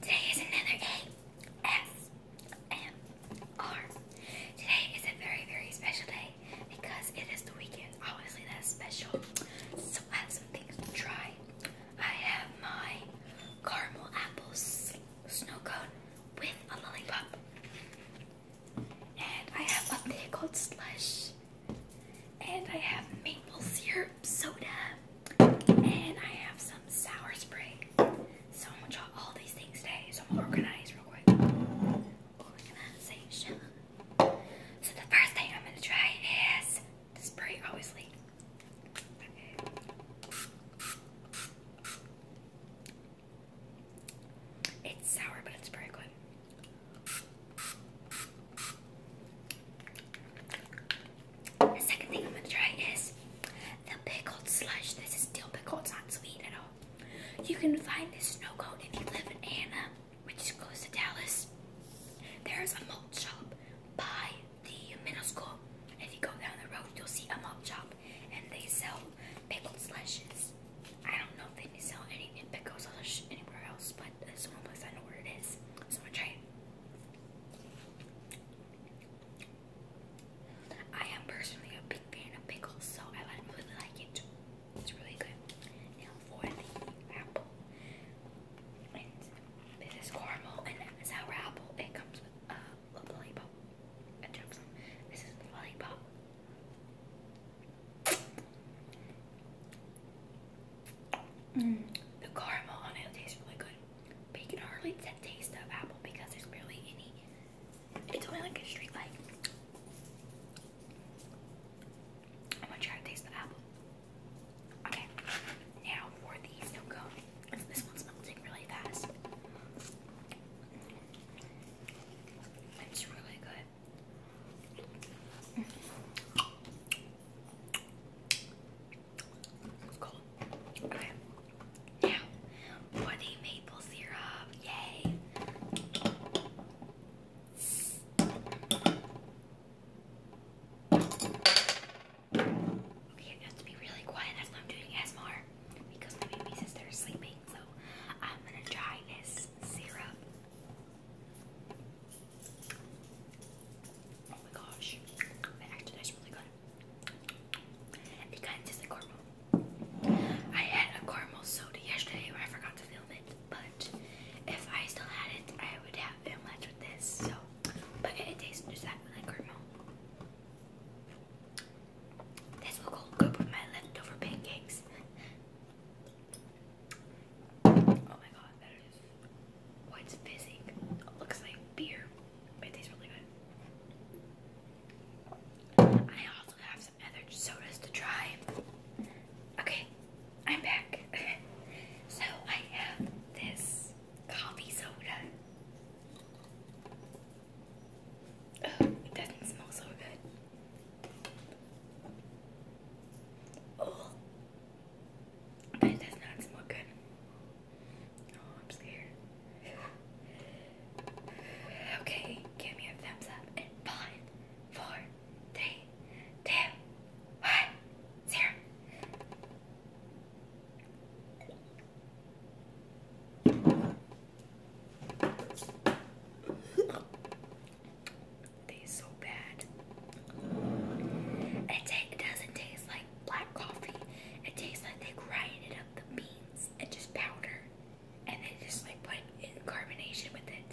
Today is another ASMR. Today is a very, very special day because it is the weekend. Obviously, that's special. So, I have some things to try. I have my caramel apples snow cone with a lollipop. And I have a pickled slush. And I have maple syrup soda. And I have some sour spray. So I'm gonna try all these things today. So I'm gonna organize real quick. Organization. So the first thing I'm gonna try is the spray, obviously. It's sour, but it's very good. The second thing I'm going to try is the pickled slush. This is still pickled; It's not sweet at all. You can find this snow cone if you live in Anna, which is close to Dallas. There's a malt shop by the middle school. If you go down the road, you'll see a malt shop, and they sell pickled slushes. I don't know if they sell any slush anywhere else, but this one place I know where it is, so I'm gonna try it. I am personally a big fan of pickles, so I really like it. It's really good. this is caramel and sour apple. It comes with a lollipop. This is the lollipop. Mm. the caramel on it tastes really good. But you can hardly taste of apple because there's barely any. It's only like a street light. I'm gonna try to taste the apple. Okay, now for the snow cone. This one's melting really fast. It's really good. It's for the maple syrup. Yay. Okay, you have to be really quiet. That's why I'm doing ASMR. Because my baby sister sleeping. So I'm going to try this syrup. Oh my gosh, that actually tastes really good. It kind of tastes like caramel. I had a caramel soda yesterday, but I forgot to film it. But if I still had it, I would have been much with this. So, but it tastes exactly like caramel. This will go with my leftover pancakes. Oh my god, that is. Oh, fizzing. It looks like beer, but it tastes really good. I also have some other sodas to try. Okay, I'm back. so I have this coffee soda. Oh, it doesn't smell so good. Oh, it does not smell good. Oh, I'm scared. Okay, give me a thumbs up five, four, three, two, one, zero. Tastes so bad. It, it doesn't taste like black coffee. It tastes like they grinded up the beans and just powder, and they just like put in carbonation with it.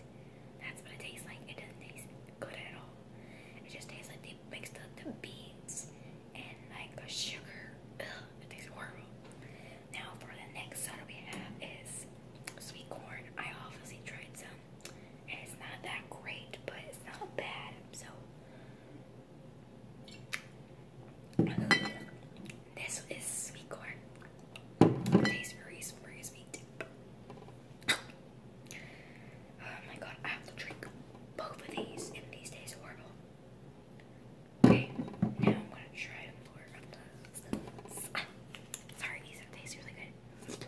That's what it tastes like. It doesn't taste good at all. It just tastes like they mixed up the beans and like the sugar. it tastes horrible. Now for the next soda we have is sweet corn. I obviously tried some it's not that great, but it's not bad. So this is sweet corn. tastes very, very sweet. Oh my god, I have to drink both of these, and these taste horrible. Okay, now I'm gonna try more of those. Sorry, these taste really good.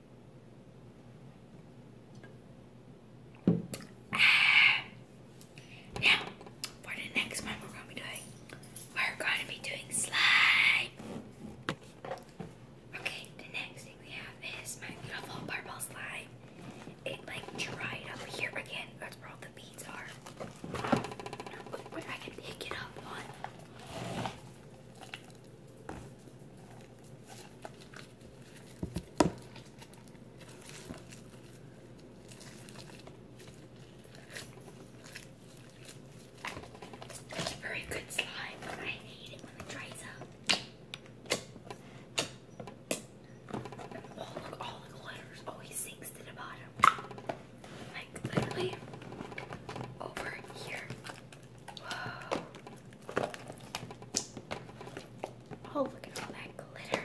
Ah. for the next one, we're going to be doing, we're going to be doing slime. Okay, the next thing we have is my beautiful purple slime. It like dried over here again. That's where all the beads are. Where I can pick it up that's a very good slime. I hate it when it dries up. Oh look, all the glitters always sinks to the bottom. Like literally over here Oh, look at all that glitter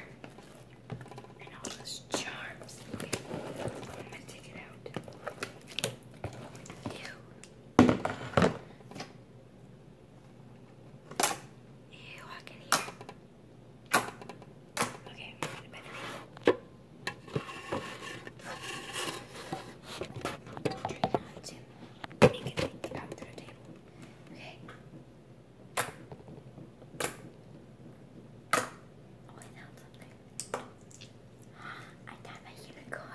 and all those charms. I'm gonna take it out. Ew. Ew, I can hear. Okay, Try not to make it hit the of the table. Okay. Oh, I found something. I found my unicorn.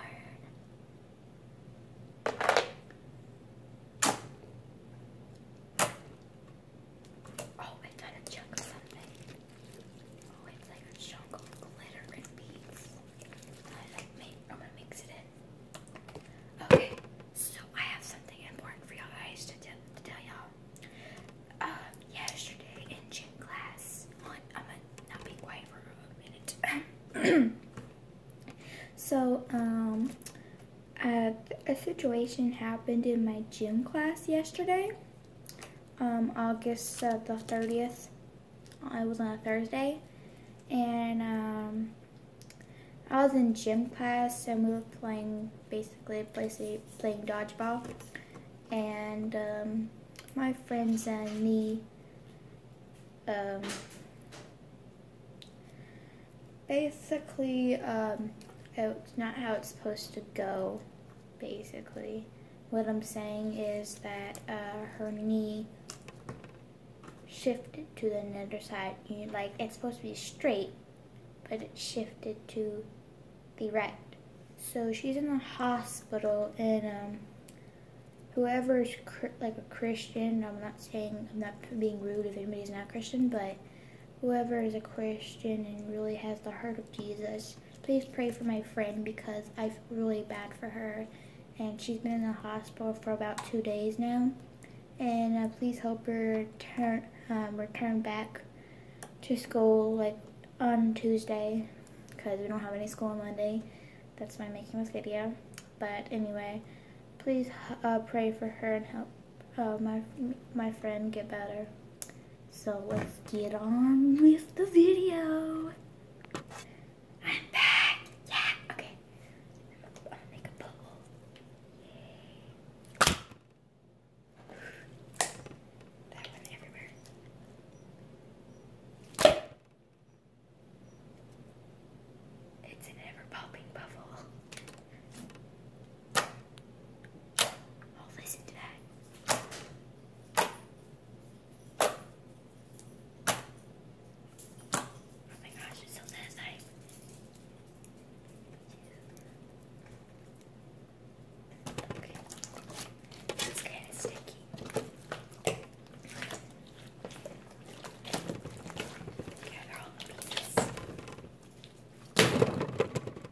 Oh, I got a chunk something. Oh, okay, so I have something important for y'all guys to, to tell y'all. Um, yesterday in gym class, I'm gonna not be quiet for a minute. so, um, a situation happened in my gym class yesterday um, August uh, the 30th. It was on a Thursday. And um, I was in gym class and we were playing, basically, playing dodgeball. And um, my friends and me um, basically um, it's not how it's supposed to go basically. What I'm saying is that uh, her knee shifted to the other side. like, it's supposed to be straight, but it shifted to the right. So she's in the hospital, and um, whoever is like a Christian, I'm not saying, I'm not being rude if anybody's not Christian, but whoever is a Christian and really has the heart of Jesus please pray for my friend because I feel really bad for her. And she's been in the hospital for about two days now. And uh, please help her turn, um, return back to school like on Tuesday because we don't have any school on Monday. That's why I'm making this video. But anyway, please uh, pray for her and help uh, my, my friend get better. So let's get on with the video. I'm back. Yeah, okay. make a bubble. That went everywhere. It's an ever popping bubble. Oh, listen to that. Oh my gosh, it's so satisfying. Okay. That's kind of sticky. Okay, they're all pieces.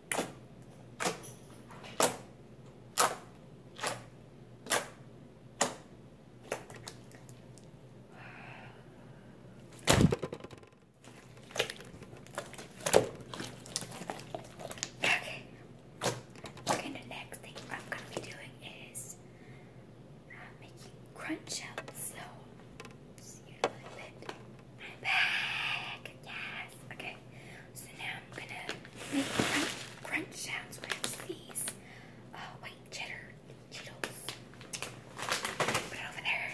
Okay. Okay, the next thing I'm going to be doing is uh, making crunch up. So, you I'm back. Yeah yes, okay. So now I'm gonna make crunch, crunch sounds with these uh, white cheddar Cheetos. Put it over there.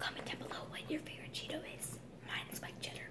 Comment down below what your favorite Cheeto is. Mine is like cheddar.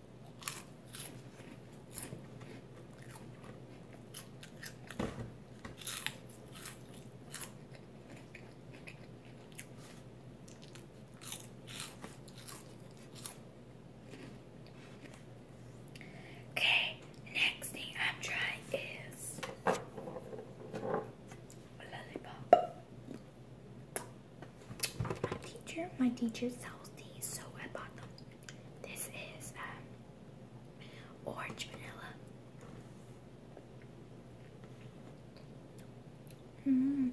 Okay, next thing I'm trying is a lollipop. My teacher, my teacher sells these, so I bought them. This is um, orange vanilla. Mm-hmm.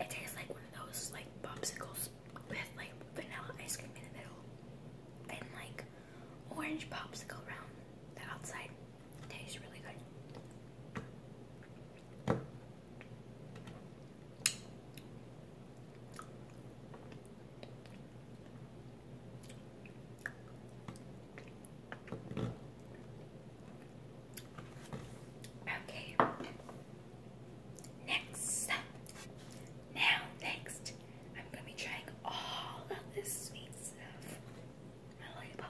It tastes like one of those like popsicles with like vanilla ice cream in the middle and like orange popsicle around the outside. tastes really good. Okay. Next. Now, next, I'm going to be trying all of this sweet stuff. My label.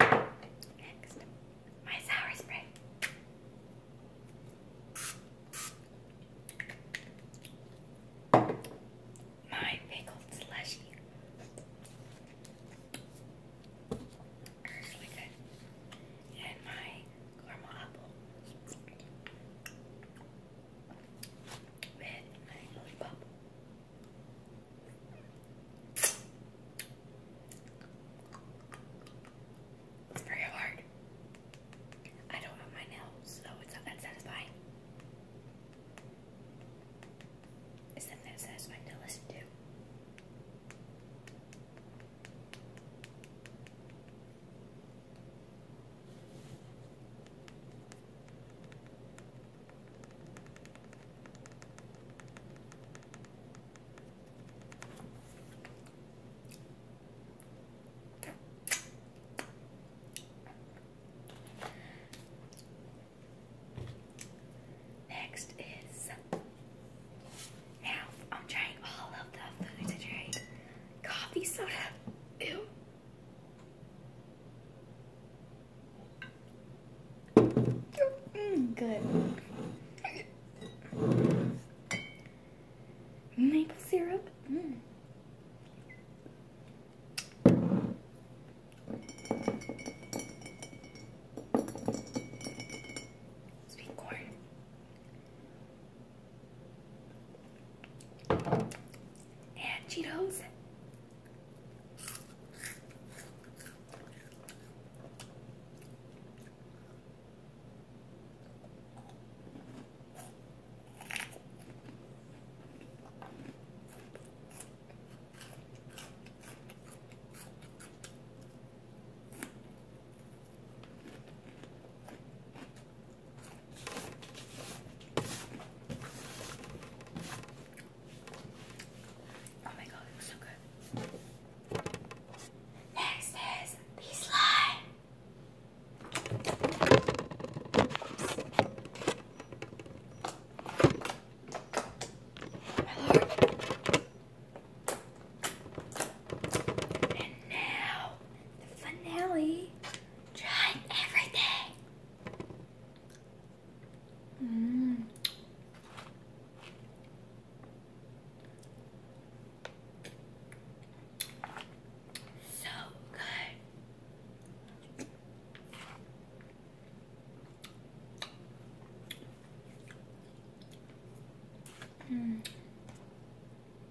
Next, my sour spray. My pickled slushy. really good. And my caramel apple red honey lollipop. hard. I don't have my nails, so it's not that satisfying. It's not that satisfying to listen to. Next is now I'm trying all of the food to Coffee soda. Ew. Good. Maple syrup. Mm. Sweet corn and Cheetos. Oh my god, it's so good. Next is the slime. And now the finale. Try everything. Mm. So good. Mm.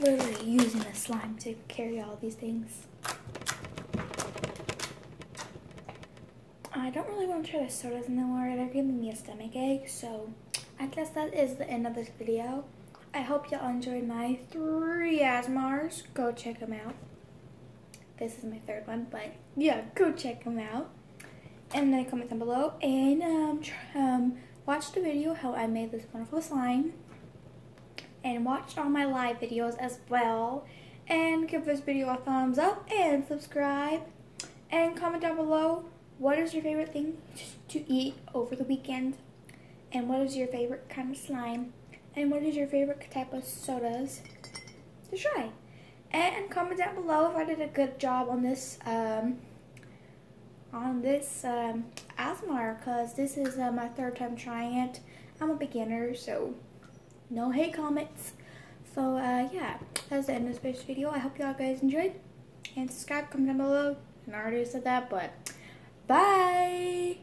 literally using the slime to carry all these things. I don't really want to try the sodas anymore. They're giving me a stomach ache. So I guess that is the end of this video. I hope y'all enjoyed my three Asmars. Go check them out. This is my third one, but yeah, go check them out. And then comment down below and um, um, watch the video how I made this wonderful slime. And watch all my live videos as well. And give this video a thumbs up and subscribe. And comment down below what is your favorite thing to eat over the weekend. And what is your favorite kind of slime and what is your favorite type of sodas to try. And comment down below if I did a good job on this um, on this um, because this is uh, my third time trying it. I'm a beginner, so no hate comments. So uh, yeah, that's the end of this video. I hope y'all guys enjoyed. And subscribe, comment down below. And I already said that, but bye!